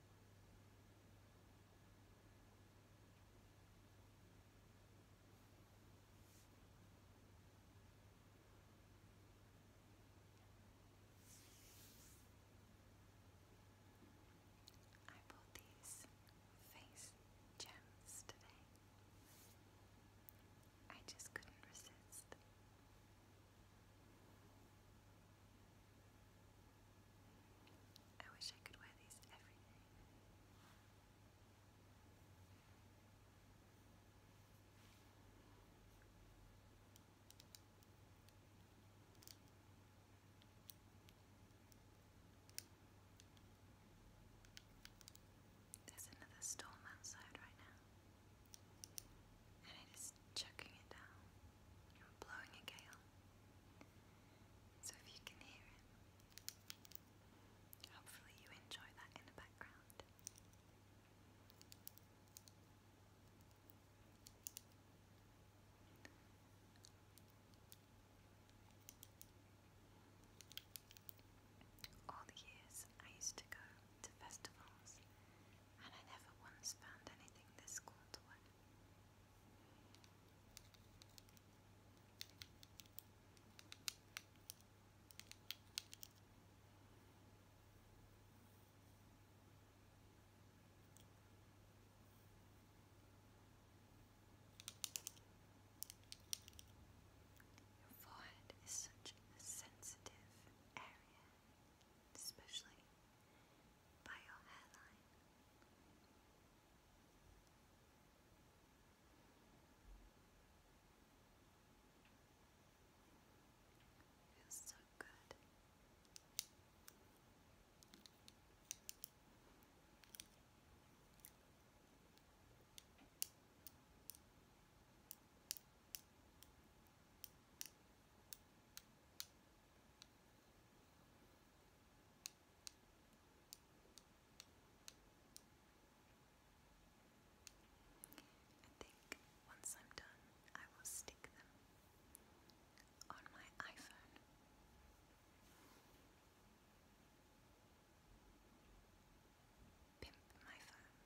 I bought these face gems today. I just couldn't resist. I wish I could wear these every day. There's another storm outside right now and it is chucking it down blowing a gale. So if you can hear it, hopefully you enjoy that in the background. All the years I used to go to festivals and I never once found anything this cool to wear. Your forehead is such a sensitive area especially by your hairline. Feels so good. I think once I'm done, I will stick them on my iPhone. Pimp my phone.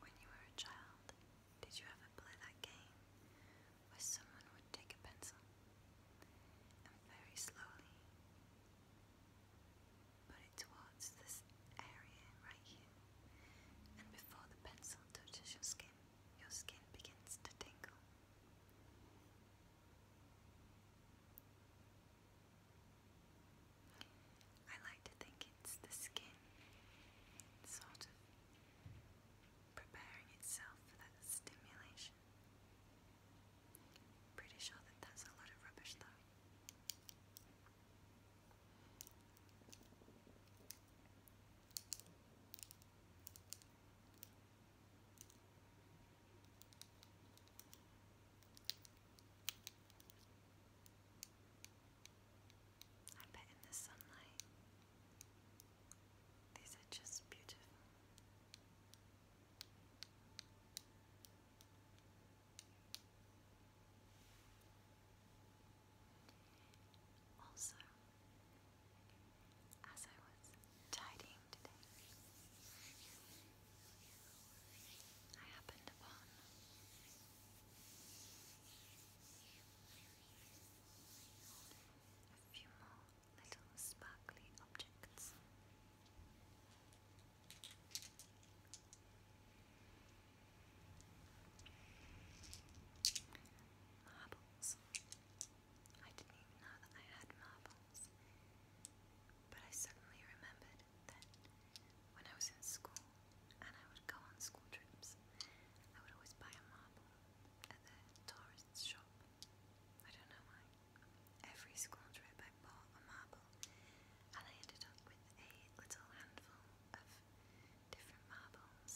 When you were a child, did you ever play that game where someone would take a pencil and very slowly put it towards this area right here, and before the pencil touches your skin, your skin begins to tingle? I like to think it's the skin sort of preparing itself for that stimulation. Pretty sure that that's a lot of rubbish though. I bet in the sunlight, these are just beautiful. Also, as I was tidying today, I happened upon a few more little sparkly objects. Marbles. I didn't even know that I had marbles. But I suddenly remembered that when I was in school and I would go on school trips, I would always buy a marble at the tourist shop. I don't know why. Every school trip I bought a marble and I ended up with a little handful of different marbles.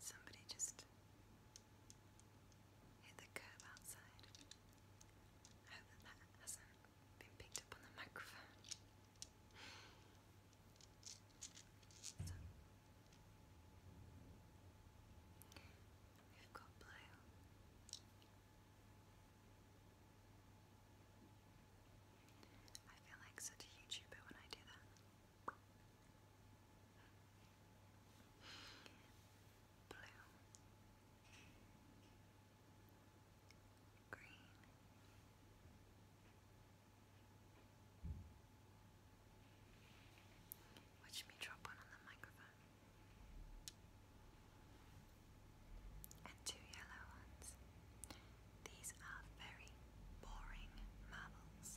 Somebody just hit the curb outside. I hope that hasn't been picked up on the microphone. So, we've got blue. I feel like such a YouTuber when I do that. Blue, green, Watch me drop one on the microphone. And two yellow ones. These are very boring marbles.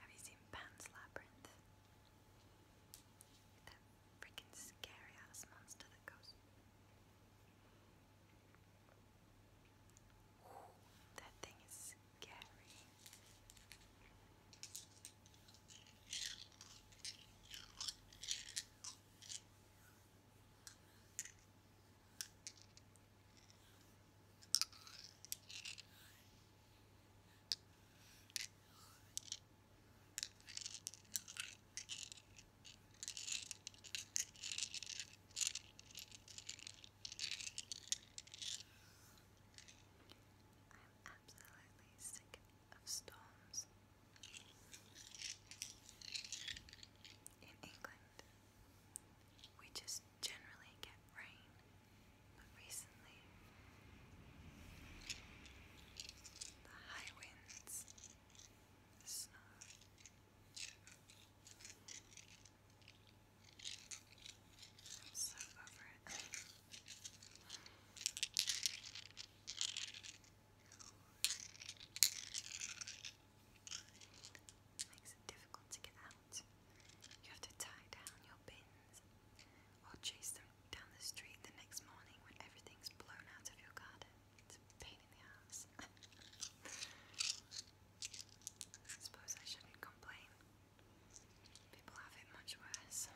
Have you seen Pan's Labyrinth? That freaking scary ass monster that goes Ooh, that thing is scary. I'm absolutely sick of storms. In England, we just generally get rain, but recently, the high winds, the snow, I'm so over it. Makes it difficult to get out. You have to tie down your bins or chase them down the street the next morning when everything's blown out of your garden. It's a pain in the ass. I suppose I shouldn't complain. People have it much worse.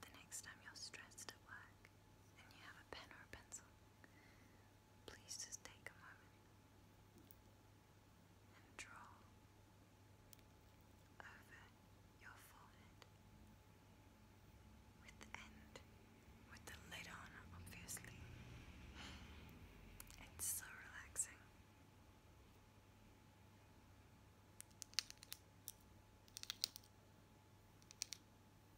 The next time you're stressed at work and you have a pen or a pencil, Please just take a moment and draw over your forehead with the end, with the lid on, obviously. It's so relaxing.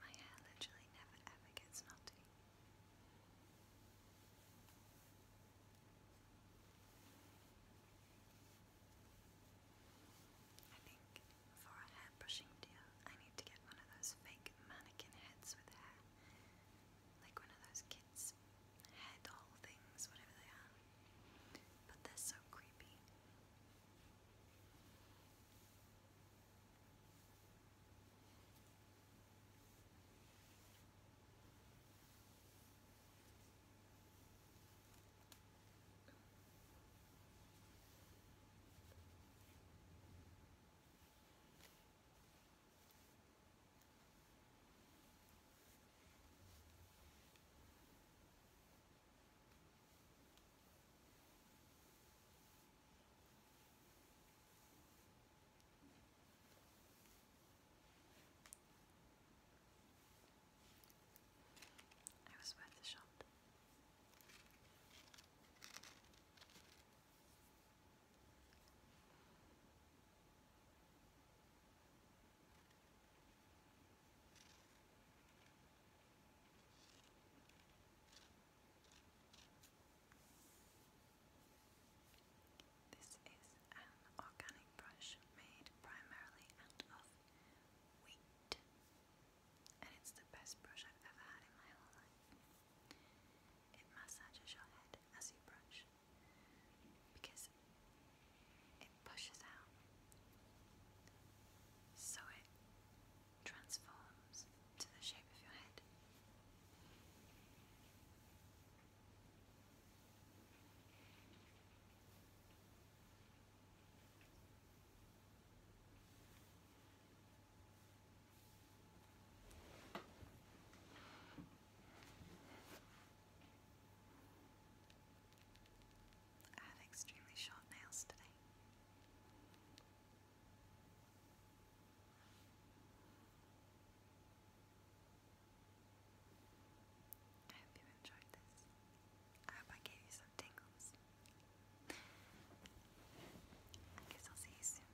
My hair literally never ever gets knotty. I think for a hair brushing deal, I need to get one of those fake mannequin heads with hair. Like one of those kids' head all things, whatever they are. But they so creepy. I was worth a shot. This is an organic brush made primarily out of wheat, and it's the best brush I've ever had in my whole life. It massages your head as you brush, because it pushes out, so it transforms to the shape of your head. I have extremely short nails today. I hope you enjoyed this. I hope I gave you some tingles. I guess I'll see you soon.